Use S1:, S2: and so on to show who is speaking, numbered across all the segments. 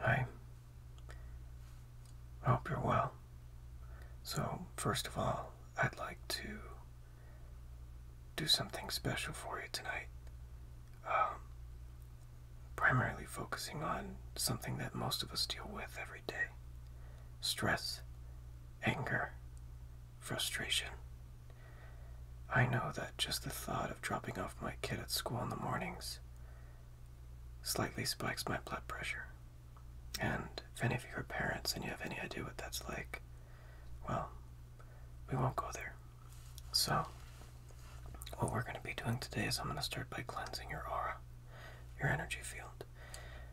S1: Hi. I hope you're well. So, first of all, I'd like to do something special for you tonight. Um, primarily focusing on something that most of us deal with every day stress, anger, frustration. I know that just the thought of dropping off my kid at school in the mornings slightly spikes my blood pressure. And if any of you are parents and you have any idea what that's like, well, we won't go there. So, what we're going to be doing today is I'm going to start by cleansing your aura your energy field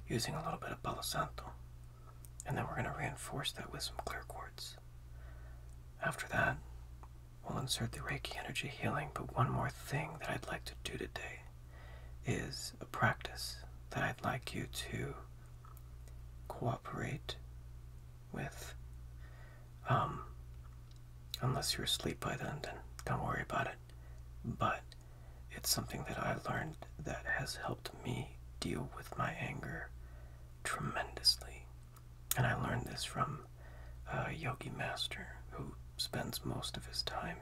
S1: using a little bit of Palo And then we're going to reinforce that with some clear quartz. After that, we'll insert the Reiki energy healing. But one more thing that I'd like to do today is a practice that I'd like you to cooperate with. Um, unless you're asleep by then, then don't worry about it but it's something that I learned that has helped me deal with my anger tremendously. And I learned this from a yogi master who spends most of his time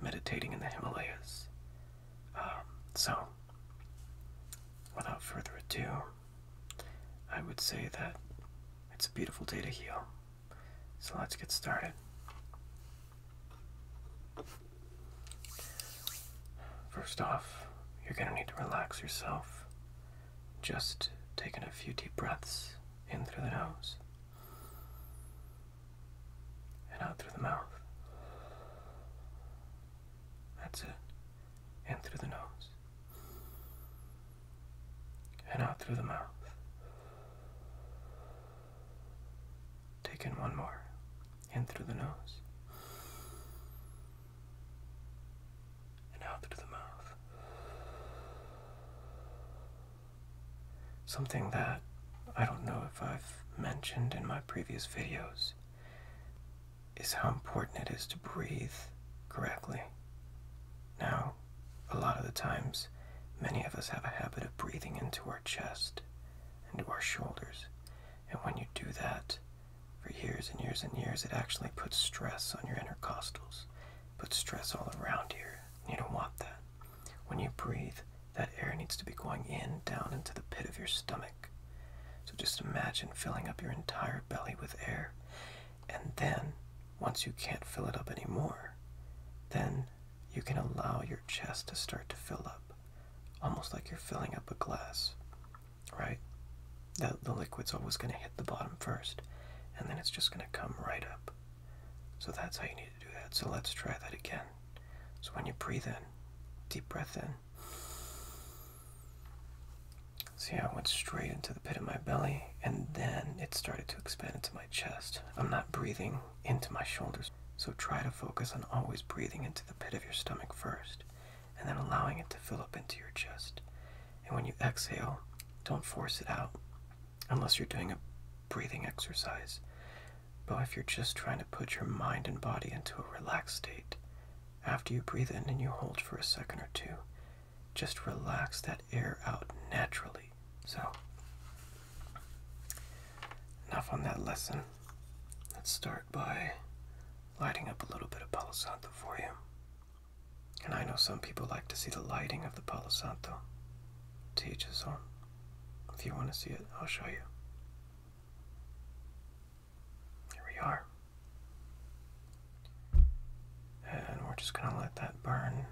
S1: meditating in the Himalayas. Um, so, without further ado, I would say that it's a beautiful day to heal. So let's get started. First off, you're going to need to relax yourself. Just taking a few deep breaths in through the nose and out through the mouth. That's it. In through the nose and out through the mouth. Take in one more, in through the nose, and out through the mouth. Something that I don't know if I've mentioned in my previous videos is how important it is to breathe correctly. Now, a lot of the times, many of us have a habit of breathing into our chest, into our shoulders, and when you do that for years and years and years, it actually puts stress on your intercostals, puts stress all around here. You don't want that. When you breathe, that air needs to be going in, down into the pit of your stomach. So just imagine filling up your entire belly with air. And then, once you can't fill it up anymore, then you can allow your chest to start to fill up, almost like you're filling up a glass, right? That the liquid's always going to hit the bottom first, and then it's just going to come right up. So that's how you need to do that. So let's try that again. So when you breathe in, deep breath in. See how it went straight into the pit of my belly, and then it started to expand into my chest. I'm not breathing into my shoulders. So try to focus on always breathing into the pit of your stomach first and then allowing it to fill up into your chest. And when you exhale, don't force it out unless you're doing a breathing exercise. But if you're just trying to put your mind and body into a relaxed state, after you breathe in and you hold for a second or two, just relax that air out naturally so, enough on that lesson. Let's start by lighting up a little bit of Palo for you. And I know some people like to see the lighting of the Palo Santo. To each If you want to see it, I'll show you. Here we are. And we're just going to let that burn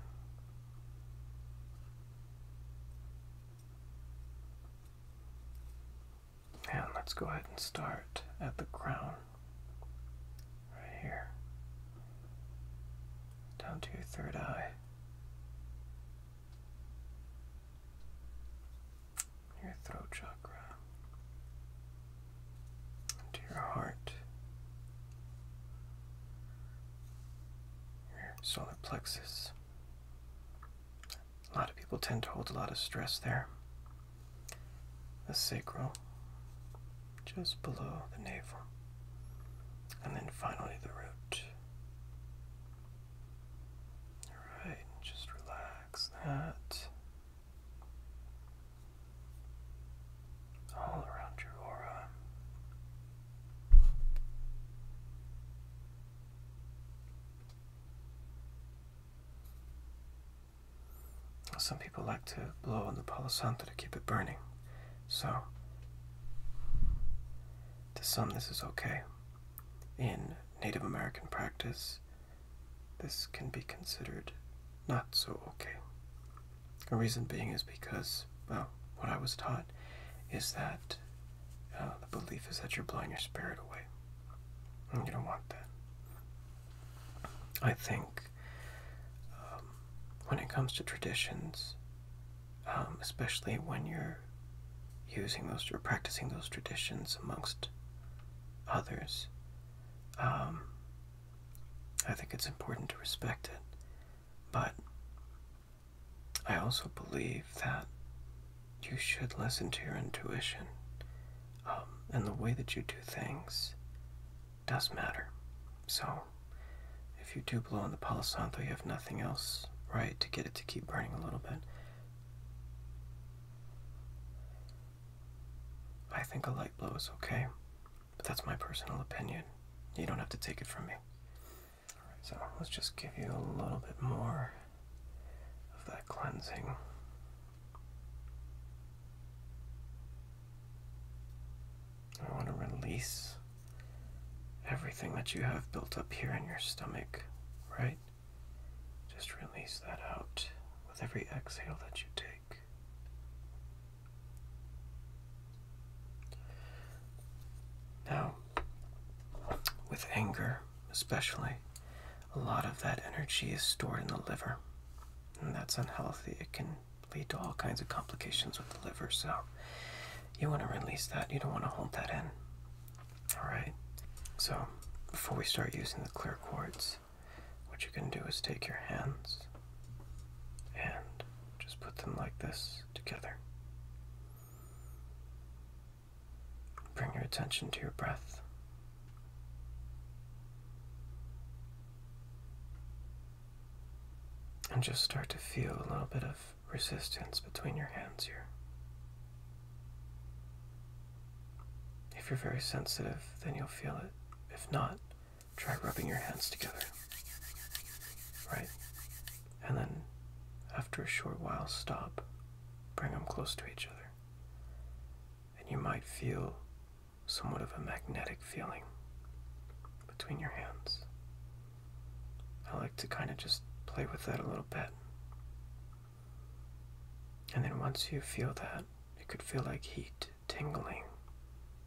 S1: and let's go ahead and start at the crown, right here, down to your third eye. Your throat chakra, into your heart, your solar plexus. A lot of people tend to hold a lot of stress there. The sacrum, just below the navel. And then finally the root. Alright, just relax that. All around your aura. Some people like to blow on the Palo Santo to keep it burning, so to some this is okay. In Native American practice, this can be considered not so okay. The reason being is because, well, what I was taught is that uh, the belief is that you're blowing your spirit away. And you don't want that. I think um, when it comes to traditions, um, especially when you're using those or practicing those traditions amongst others, um, I think it's important to respect it. But I also believe that you should listen to your intuition, um, and the way that you do things does matter. So, if you do blow on the Palo you have nothing else, right, to get it to keep burning a little bit. I think a light blow is okay, but that's my personal opinion. You don't have to take it from me. So let's just give you a little bit more of that cleansing. I want to release everything that you have built up here in your stomach, right? Just release that out with every exhale that you take. Now, with anger especially, a lot of that energy is stored in the liver, and that's unhealthy. It can lead to all kinds of complications with the liver, so you want to release that. You don't want to hold that in. Alright, so before we start using the clear quartz, what you can do is take your hands and just put them like this together. Bring your attention to your breath. And just start to feel a little bit of resistance between your hands here. If you're very sensitive, then you'll feel it. If not, try rubbing your hands together. Right. And then, after a short while, stop. Bring them close to each other. And you might feel somewhat of a magnetic feeling between your hands. I like to kind of just play with that a little bit. And then once you feel that, it could feel like heat tingling,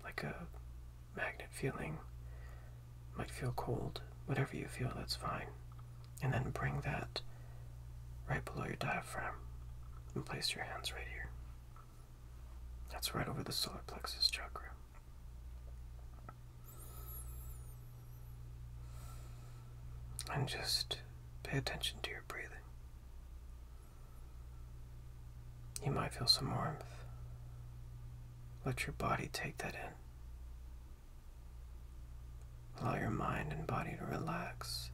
S1: like a magnet feeling might feel cold, whatever you feel, that's fine. And then bring that right below your diaphragm and place your hands right here. That's right over the solar plexus chakra. And just pay attention to your breathing. You might feel some warmth. Let your body take that in. Allow your mind and body to relax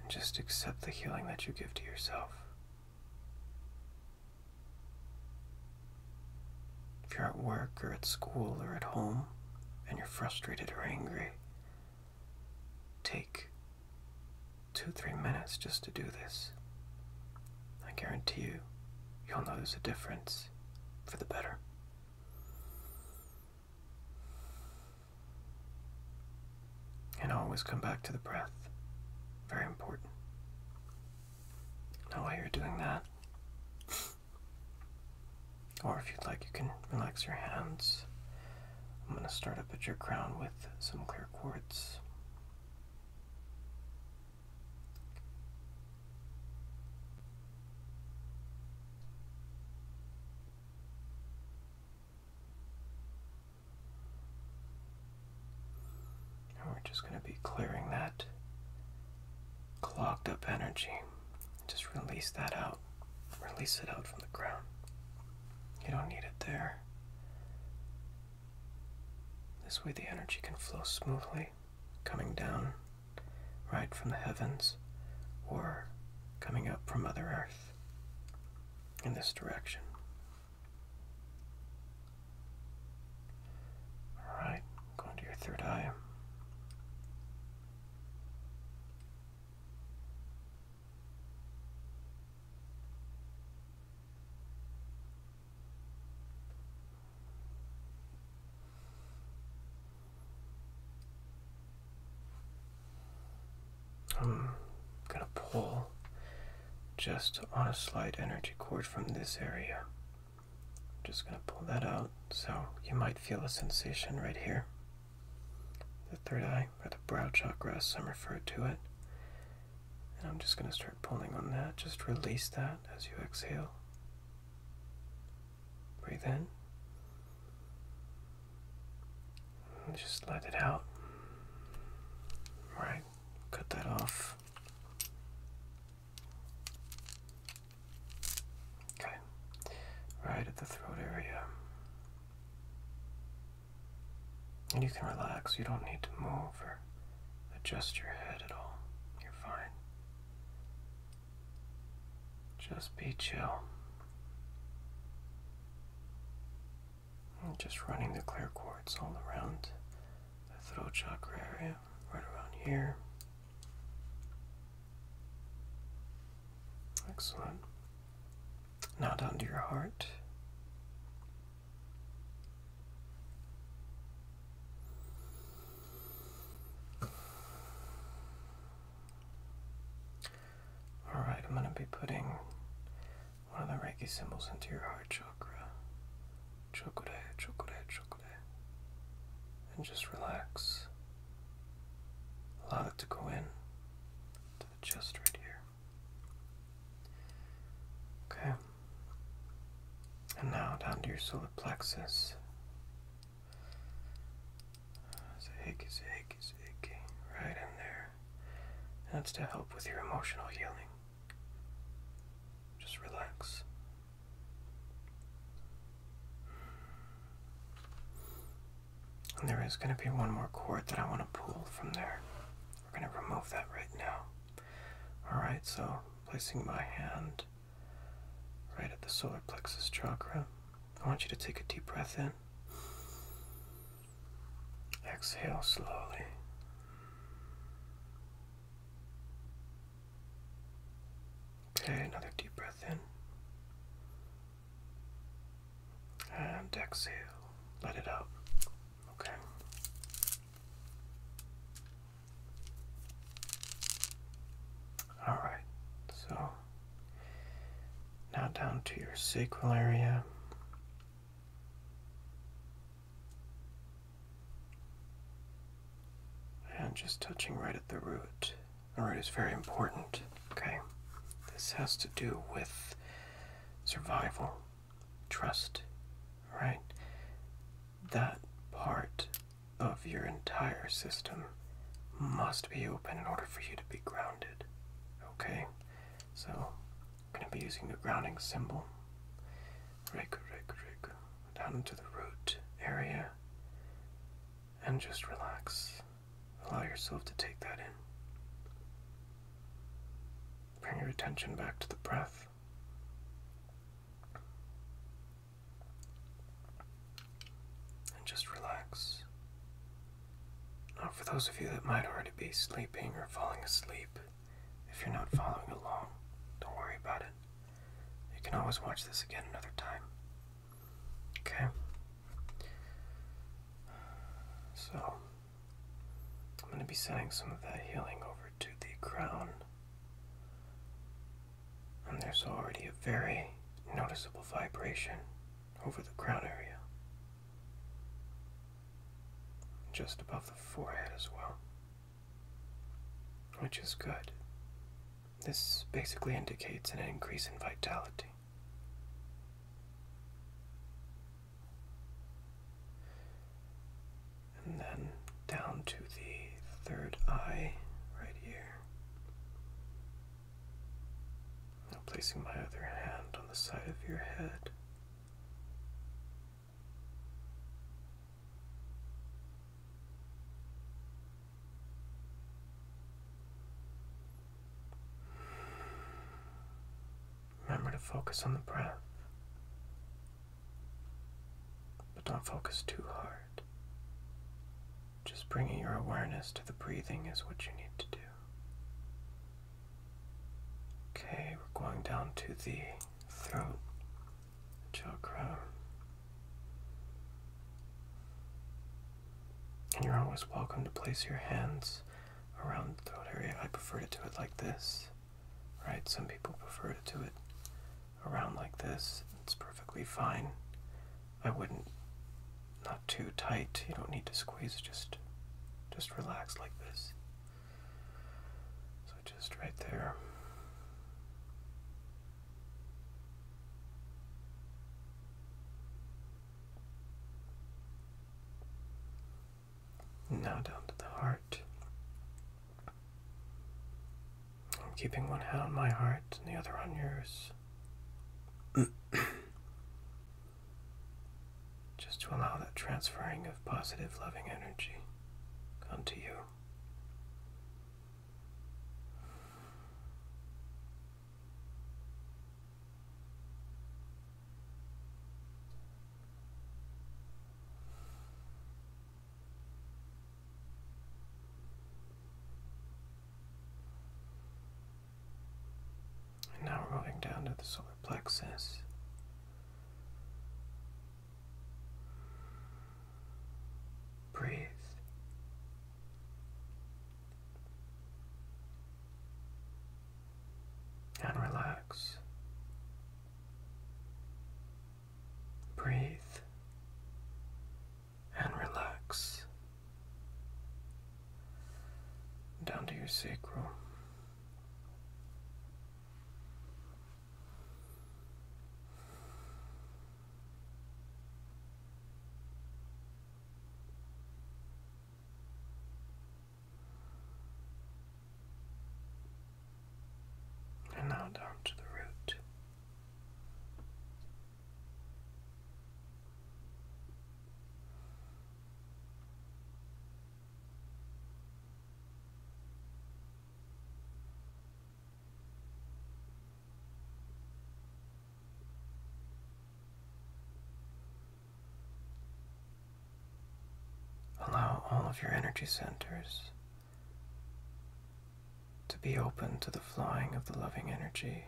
S1: and just accept the healing that you give to yourself. If you're at work or at school or at home and you're frustrated or angry, take two, three minutes just to do this. I guarantee you, you'll notice a difference for the better. And always come back to the breath. Very important. Now, why you're doing that, or if you'd like, you can relax your hands. I'm going to start up at your crown with some clear quartz we're just going to be clearing that clogged up energy. Just release that out. Release it out from the ground. You don't need it there. This way the energy can flow smoothly coming down right from the heavens or coming up from other Earth in this direction. Alright, go into your third eye. I'm gonna pull just on a slight energy cord from this area. I'm just gonna pull that out so you might feel a sensation right here. The third eye, or the brow chakra as some refer to it. And I'm just gonna start pulling on that. Just release that as you exhale. Breathe in. And just let it out. Right, cut that off. Okay, right at the throat area. And you can relax, you don't need to move or adjust your head at all. You're fine. Just be chill. And just running the clear quartz all around the throat chakra area, right around here. Excellent. Now down to your heart. Alright, I'm going to be putting one of the Reiki symbols into your heart chakra. Chokure, chokure, chokure. And just relax. Allow it to go in to the chest right here. Okay. And now down to your solar plexus. It's a hickey, it's Right in there. That's to help with your emotional healing. Just relax. And there is going to be one more cord that I want to pull from there. We're going to remove that right now. Alright, so placing my hand right at the solar plexus chakra. I want you to take a deep breath in. Exhale slowly. Okay, another deep breath in. And exhale. Let it out. Okay. Alright, so now down to your sacral area. And just touching right at the root. The root is very important, okay? This has to do with survival, trust, right? That part of your entire system must be open in order for you to be grounded. Okay? So, I'm going to be using the grounding symbol. Rig, rig, rig. Down into the root area. And just relax. Allow yourself to take that in. Bring your attention back to the breath and just relax. Now, for those of you that might already be sleeping or falling asleep, if you're not following along, don't worry about it. You can always watch this again another time. Okay? So, I'm going to be sending some of that healing over to the crown and there's already a very noticeable vibration over the crown area, just above the forehead as well, which is good. This basically indicates an increase in vitality and then down to the third eye right here. Now placing my other hand on the side of your head. Remember to focus on the breath. But don't focus too hard. Just bringing your awareness to the breathing is what you need to do. Okay, we're going down to the throat chakra. And you're always welcome to place your hands around the throat area. I prefer to do it like this, right? Some people prefer to do it around like this. It's perfectly fine. I wouldn't not too tight. You don't need to squeeze, just just relax like this. So just right there. Now down to the heart. I'm keeping one hand on my heart and the other on yours. Just to allow that transferring of positive, loving energy onto you. And now we're going down to the solar plexus. Breathe. And relax. Breathe and relax down to your sacrum, And now down to the root. Allow all of your energy centers to be open to the flowing of the loving energy,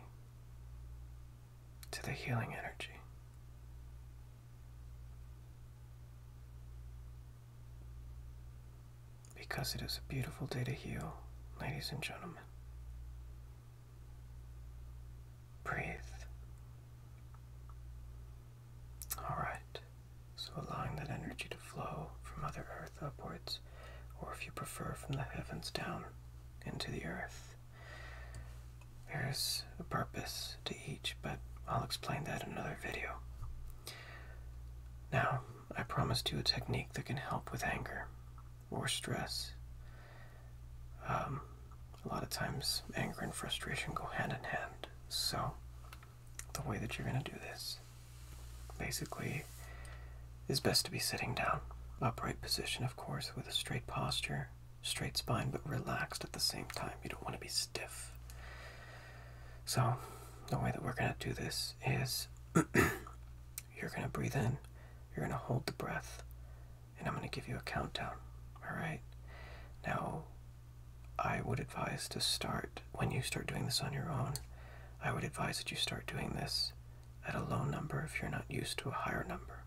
S1: to the healing energy. Because it is a beautiful day to heal, ladies and gentlemen. Breathe. All right. So allowing that energy to flow from Mother Earth upwards, or if you prefer, from the heavens down into the earth. There's a purpose to each, but I'll explain that in another video. Now, I promised you a technique that can help with anger or stress. Um, a lot of times, anger and frustration go hand in hand, so the way that you're going to do this basically is best to be sitting down. Upright position, of course, with a straight posture, straight spine, but relaxed at the same time. You don't want to be stiff. So, the way that we're going to do this is you're going to breathe in, you're going to hold the breath, and I'm going to give you a countdown. All right? Now, I would advise to start when you start doing this on your own. I would advise that you start doing this at a low number if you're not used to a higher number.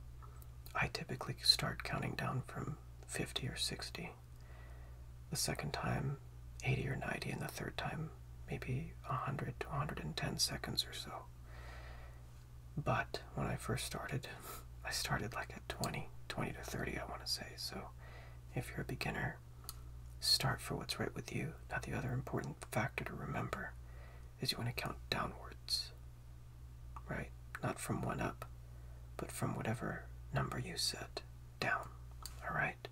S1: I typically start counting down from 50 or 60, the second time 80 or 90, and the third time maybe 100 to 110 seconds or so. But when I first started, I started like at 20, 20 to 30, I want to say. So if you're a beginner, Start for what's right with you. Now, the other important factor to remember is you want to count downwards, right? Not from one up, but from whatever number you set down, all right?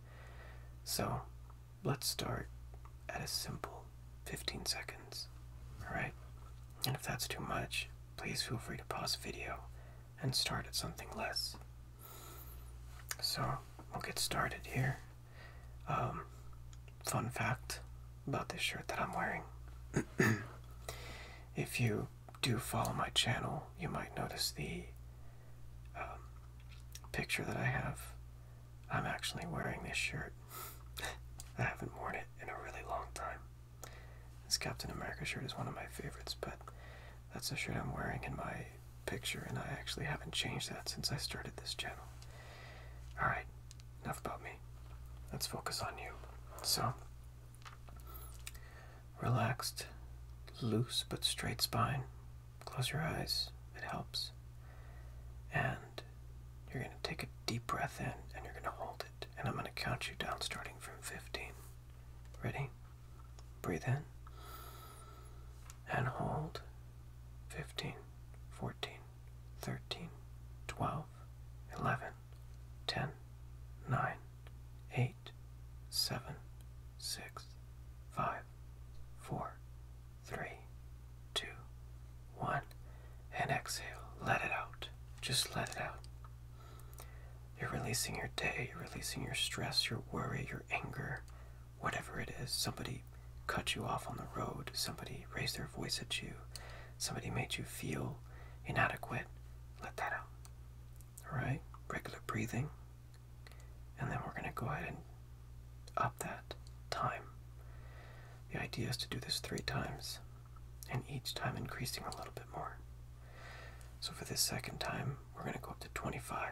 S1: So, let's start at a simple 15 seconds, all right? And if that's too much, please feel free to pause the video and start at something less. So, we'll get started here. Um, fun fact about this shirt that I'm wearing. if you do follow my channel, you might notice the um, picture that I have. I'm actually wearing this shirt. I haven't worn it in a really long time. This Captain America shirt is one of my favorites, but that's the shirt I'm wearing in my picture, and I actually haven't changed that since I started this channel. Alright, enough about me. Let's focus on you. So, relaxed, loose but straight spine. Close your eyes, it helps. And you're going to take a deep breath in and you're going to hold it. And I'm going to count you down starting from 15. Ready? Breathe in and hold 15, 14, 13, 12, 11, 10, 9, 8, 7, 6, 5, 4, 3, 2, 1, and exhale. Let it out. Just let it out. You're releasing your day, you're releasing your stress, your worry, your anger, whatever it is, somebody cut you off on the road, somebody raised their voice at you, somebody made you feel inadequate, let that out. Alright? Regular breathing. And then we're going to go ahead and up that time. The idea is to do this three times, and each time increasing a little bit more. So for this second time, we're going to go up to 25.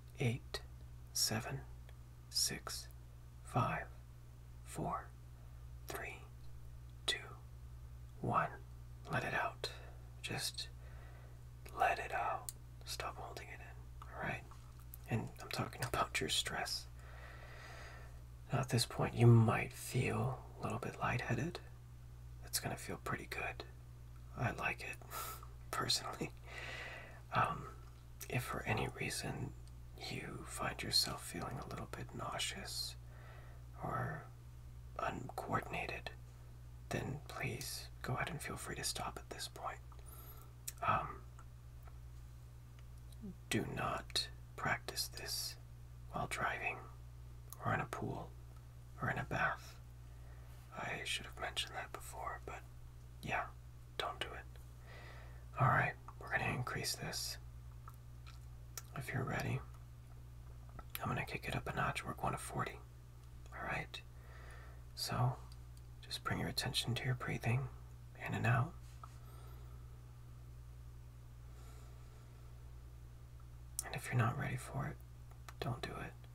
S1: eight, seven, six, five, four, three, two, one. Let it out. Just let it out. Stop holding it in. Alright? And I'm talking about your stress. Now, at this point, you might feel a little bit lightheaded. It's going to feel pretty good. I like it personally. Um, if for any reason you find yourself feeling a little bit nauseous or uncoordinated, then please go ahead and feel free to stop at this point. Um, do not practice this while driving or in a pool we're in a bath. I should have mentioned that before, but yeah, don't do it. Alright, we're going to increase this. If you're ready, I'm going to kick it up a notch. We're going to 40. Alright? So, just bring your attention to your breathing in and out. And if you're not ready for it, don't do it.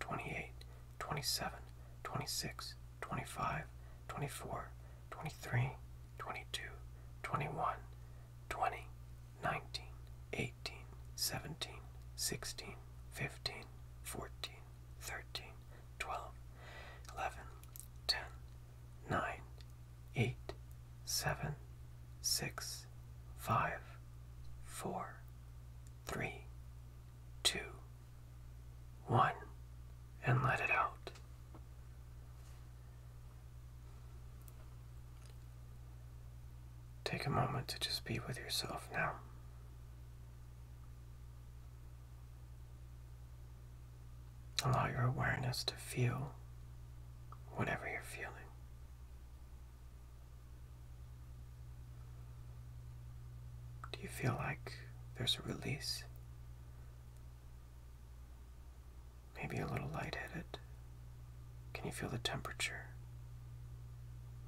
S1: 28, 27, 26, 25, 24, 23, 22, 21, 20, 19, 18, 17, 16, 15, 14, 13, 12, 11, 10, 9, 8, 7, 6, 5, 4, 3, 2, one, and let it out. Take a moment to just be with yourself now. Allow your awareness to feel whatever you're feeling. Do you feel like there's a release? Maybe a little lightheaded? Can you feel the temperature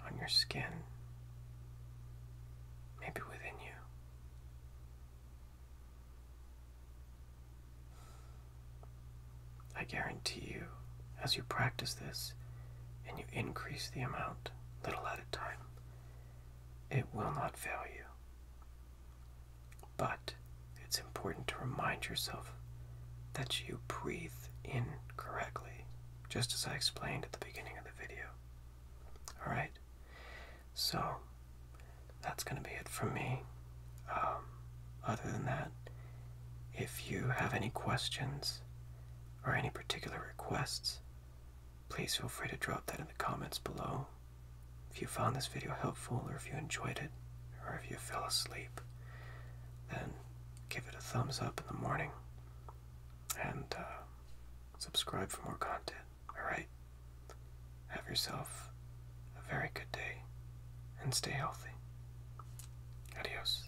S1: on your skin? Maybe within you? I guarantee you, as you practice this and you increase the amount little at a time, it will not fail you. But it's important to remind yourself that you breathe in correctly, just as I explained at the beginning of the video. Alright? So, that's going to be it from me. Um, other than that, if you have any questions or any particular requests, Please feel free to drop that in the comments below. If you found this video helpful, or if you enjoyed it, or if you fell asleep, then give it a thumbs up in the morning and uh, subscribe for more content. Alright? Have yourself a very good day and stay healthy. Adios.